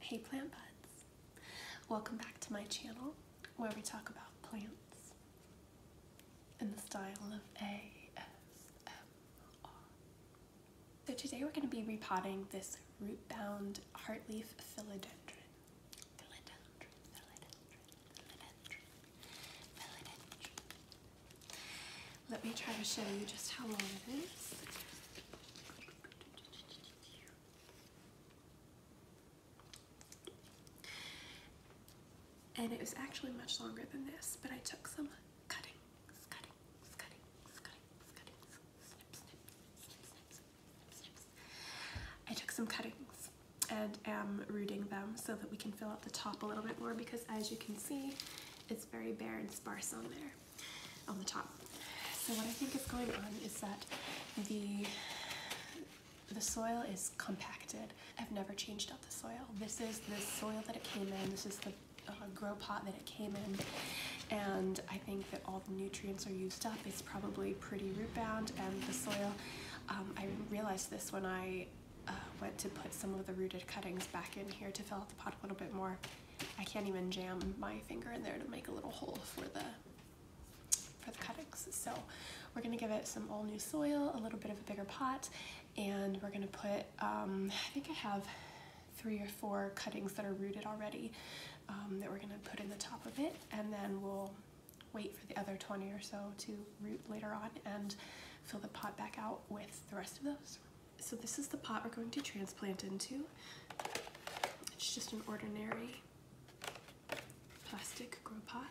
Hey plant buds! Welcome back to my channel where we talk about plants in the style of ASMR. So today we're going to be repotting this root-bound heartleaf philodendron. Let me try to show you just how long it is. And it was actually much longer than this, but I took some cutting, cuttings, cuttings, cuttings, snip, snip, snip, snip, I took some cuttings and am rooting them so that we can fill out the top a little bit more because as you can see, it's very bare and sparse on there, on the top. So what I think is going on is that the the soil is compacted. I've never changed out the soil. This is the soil that it came in. This is the uh, grow pot that it came in. And I think that all the nutrients are used up probably pretty root bound and the soil. Um, I realized this when I uh, went to put some of the rooted cuttings back in here to fill out the pot a little bit more. I can't even jam my finger in there to make a little hole for the for the cuttings. So we're gonna give it some all new soil, a little bit of a bigger pot, and we're gonna put, um, I think I have three or four cuttings that are rooted already um, that we're gonna put in the top of it, and then we'll wait for the other 20 or so to root later on and fill the pot back out with the rest of those. So this is the pot we're going to transplant into. It's just an ordinary plastic grow pot.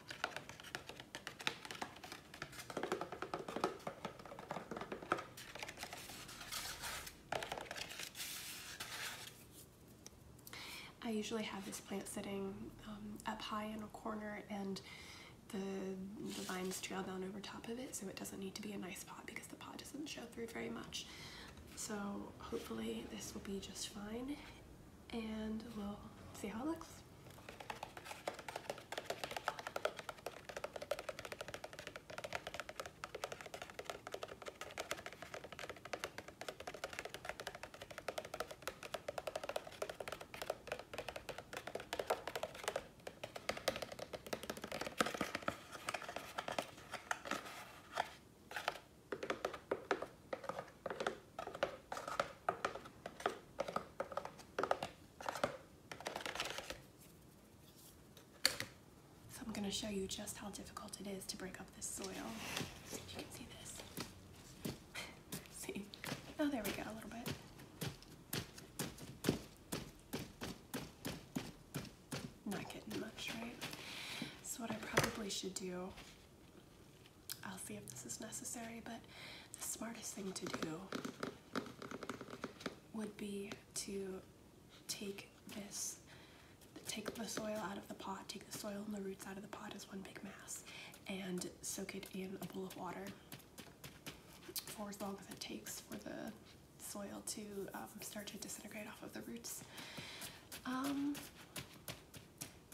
I usually have this plant sitting um, up high in a corner and the, the vines trail down over top of it so it doesn't need to be a nice pot because the pot doesn't show through very much. So hopefully this will be just fine and we'll see how it looks. So I'm going to show you just how difficult it is to break up the soil. see this. see? Oh, there we go, a little bit. Not getting much, right? So what I probably should do, I'll see if this is necessary, but the smartest thing to do would be to take is take the soil out of the pot, take the soil and the roots out of the pot as one big mass, and soak it in a bowl of water for as long as it takes for the soil to um, start to disintegrate off of the roots. Um,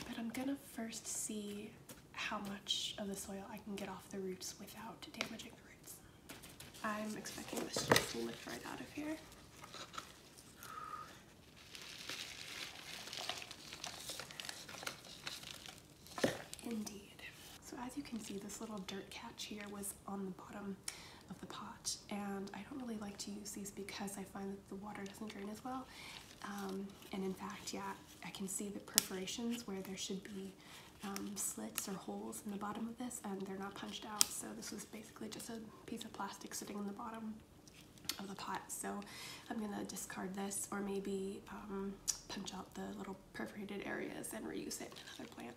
but I'm gonna first see how much of the soil I can get off the roots without damaging the roots. I'm expecting this to lift right out of here. Indeed. So as you can see, this little dirt catch here was on the bottom of the pot, and I don't really like to use these because I find that the water doesn't drain as well. Um, and in fact, yeah, I can see the perforations where there should be um, slits or holes in the bottom of this, and they're not punched out, so this was basically just a piece of plastic sitting in the bottom of the pot. So I'm gonna discard this or maybe um, punch out the little perforated areas and reuse it in another plant.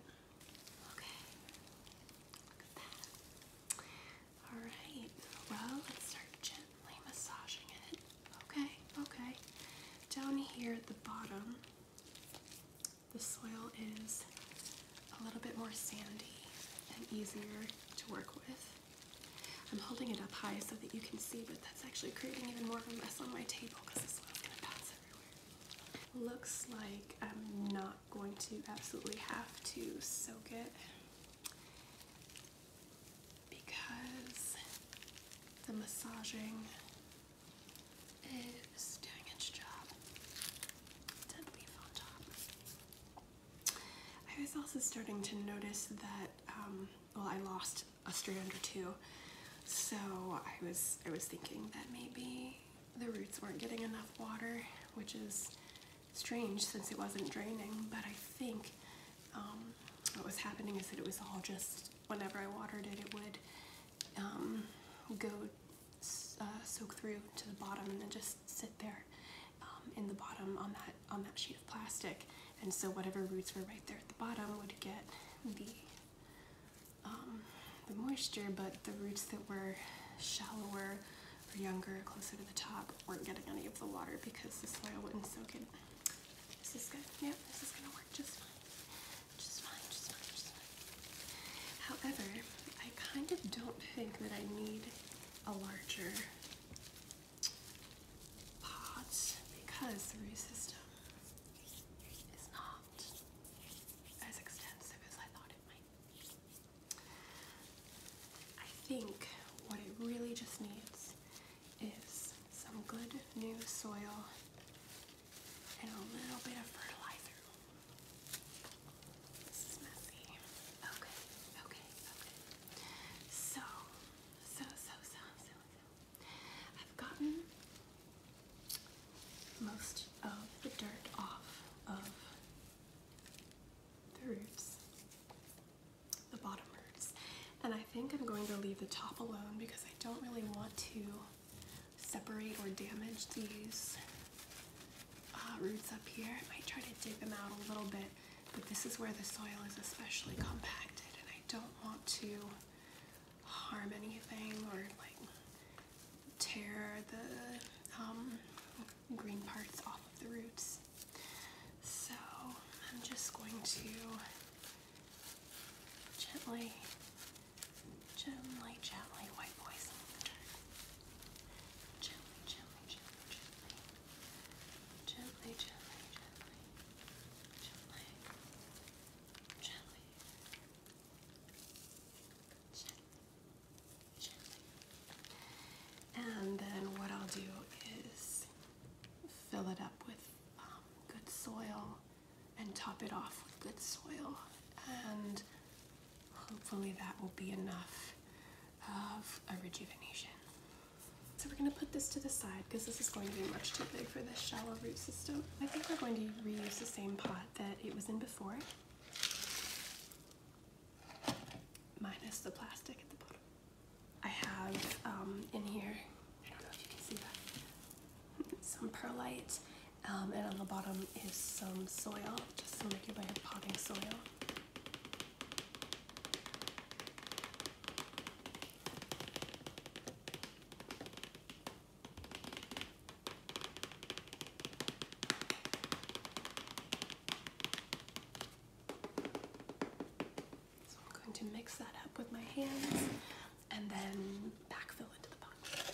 Okay, All right, well, let's start gently massaging it. Okay, okay. Down here at the bottom, the soil is a little bit more sandy and easier to work with. I'm holding it up high so that you can see, but that's actually creating even more of a mess on my table because this one's going to bounce everywhere. Looks like I'm not going to absolutely have to soak it because the massaging is doing its job. Dead leaf on top. I was also starting to notice that um, well I lost a strand or two so I was I was thinking that maybe the roots weren't getting enough water which is strange since it wasn't draining but I think um, what was happening is that it was all just whenever I watered it it would um, go uh, soak through to the bottom and then just sit there um, in the bottom on that on that sheet of plastic and so whatever roots were right there at the bottom would get the um, the moisture but the roots that were shallower or younger closer to the top weren't getting any of the water because the soil wouldn't soak it. This is good. Yeah, this is gonna work Just fine, just fine, just fine. However, I kind of don't think that I need a larger pot because the root system is not as extensive as I thought it might I think what it really just needs is some good new soil and a little bit of fertilizer. So, so, so, so, so, I've gotten most of the dirt off of the roots, the bottom roofs, and I think I'm going to leave the top alone because I don't really want to separate or damage these uh, roots up here. I might try to dig them out a little bit, but this is where the soil is especially compacted and I don't want to harm anything or like tear the um, green parts off of the roots. So I'm just going to gently Gently, gently white boys Gently, gently, gently, gently. Gently, gently, gently. Gently. And then what I'll do is fill it up with um, good soil and top it off with good soil and Hopefully that will be enough of a rejuvenation. So we're gonna put this to the side because this is going to be much too big for this shallow root system. I think we're going to reuse the same pot that it was in before. Minus the plastic at the bottom. I have um, in here, I don't know if you can see that, some perlite um, and on the bottom is some soil, just some regular potting soil. So I'm going to mix that up with my hands and then backfill into the pot.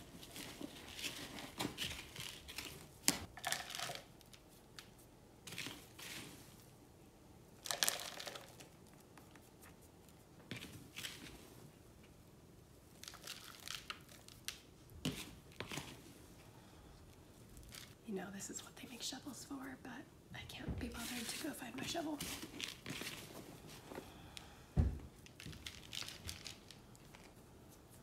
You know, this is what they make shovels for, but I can't be bothered to go find my shovel.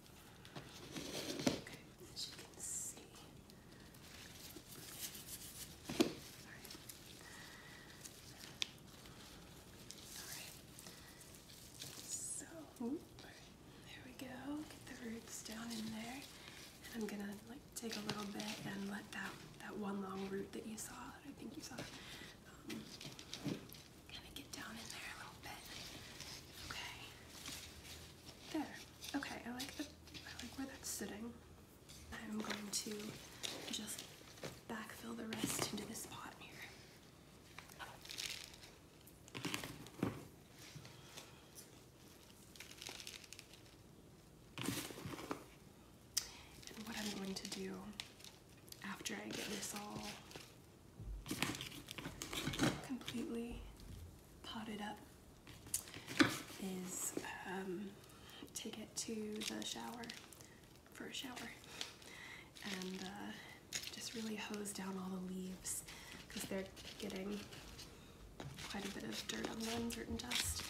Okay, as you can see. All right. All right. So, there we go. Get the roots down in there. And I'm gonna like take a little bit and let that that one long root that you saw, I think you saw, um, Kind of get down in there a little bit. Okay. There. Okay, I like the I like where that's sitting. I'm going to just backfill the rest into this pot here. And what I'm going to do after I get this all completely potted up is um, take it to the shower for a shower and uh, just really hose down all the leaves because they're getting quite a bit of dirt on them, dirt and dust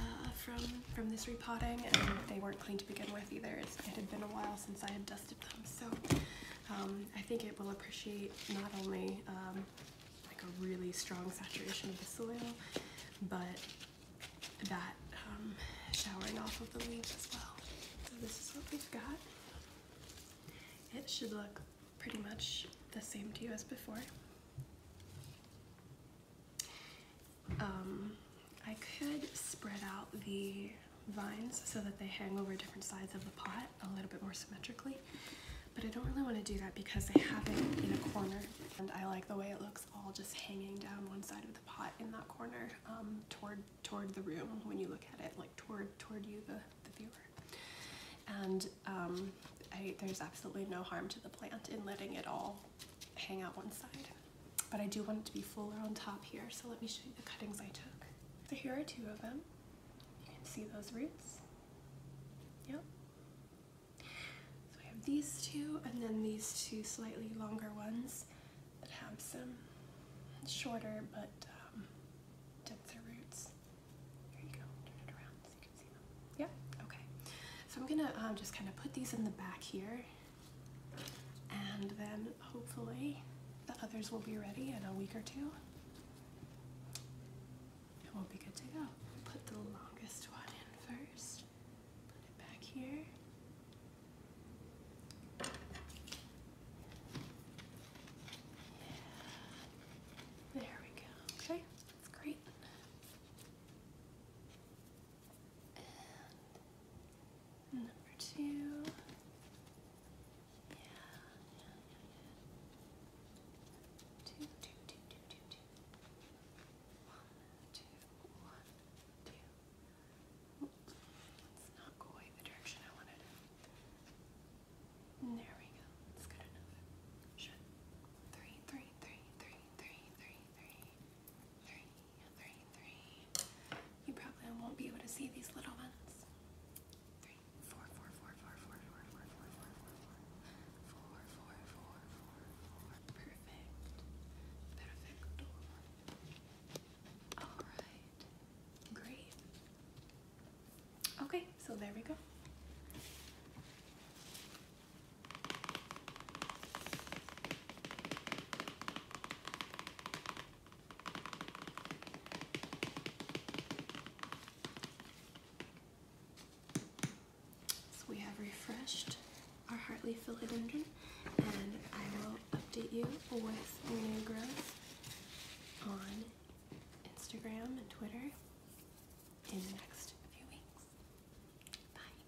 uh, from, from this repotting and they weren't clean to begin with either. it had been a while since I had done so um, I think it will appreciate not only um, like a really strong saturation of the soil, but that um, showering off of the leaves as well. So this is what we've got. It should look pretty much the same to you as before. I could spread out the vines so that they hang over different sides of the pot a little bit more symmetrically, but I don't really want to do that because I have it in a corner and I like the way it looks all just hanging down one side of the pot in that corner um, toward toward the room when you look at it, like toward toward you, the, the viewer. And um, there's absolutely no harm to the plant in letting it all hang out one side but I do want it to be fuller on top here. So let me show you the cuttings I took. So here are two of them. You can see those roots. Yep. So I have these two and then these two slightly longer ones that have some shorter but um, denser roots. Here you go, turn it around so you can see them. Yeah, okay. So I'm gonna um, just kind of put these in the back here and then hopefully the others will be ready in a week or two. It will be good to go. Put the longest one in first. Put it back here. There we go. Okay, that's great number two. Yeah, yeah, yeah, yeah. Two, two, two, two, two, two. One, two, one, two. Let's not go away the direction I wanted There we go. That's good enough. Sure. Three, three, three, three, three, three, three, three. Three, three. You probably won't be able to see these little ones. Three, four, four, four, four, four, four, four, four, four, four, four, four, four, four, four, four. Okay, so there we go. So we have refreshed our Hartley philodendron, and I will update you with new growth on Instagram and Twitter in the next few weeks. Bye.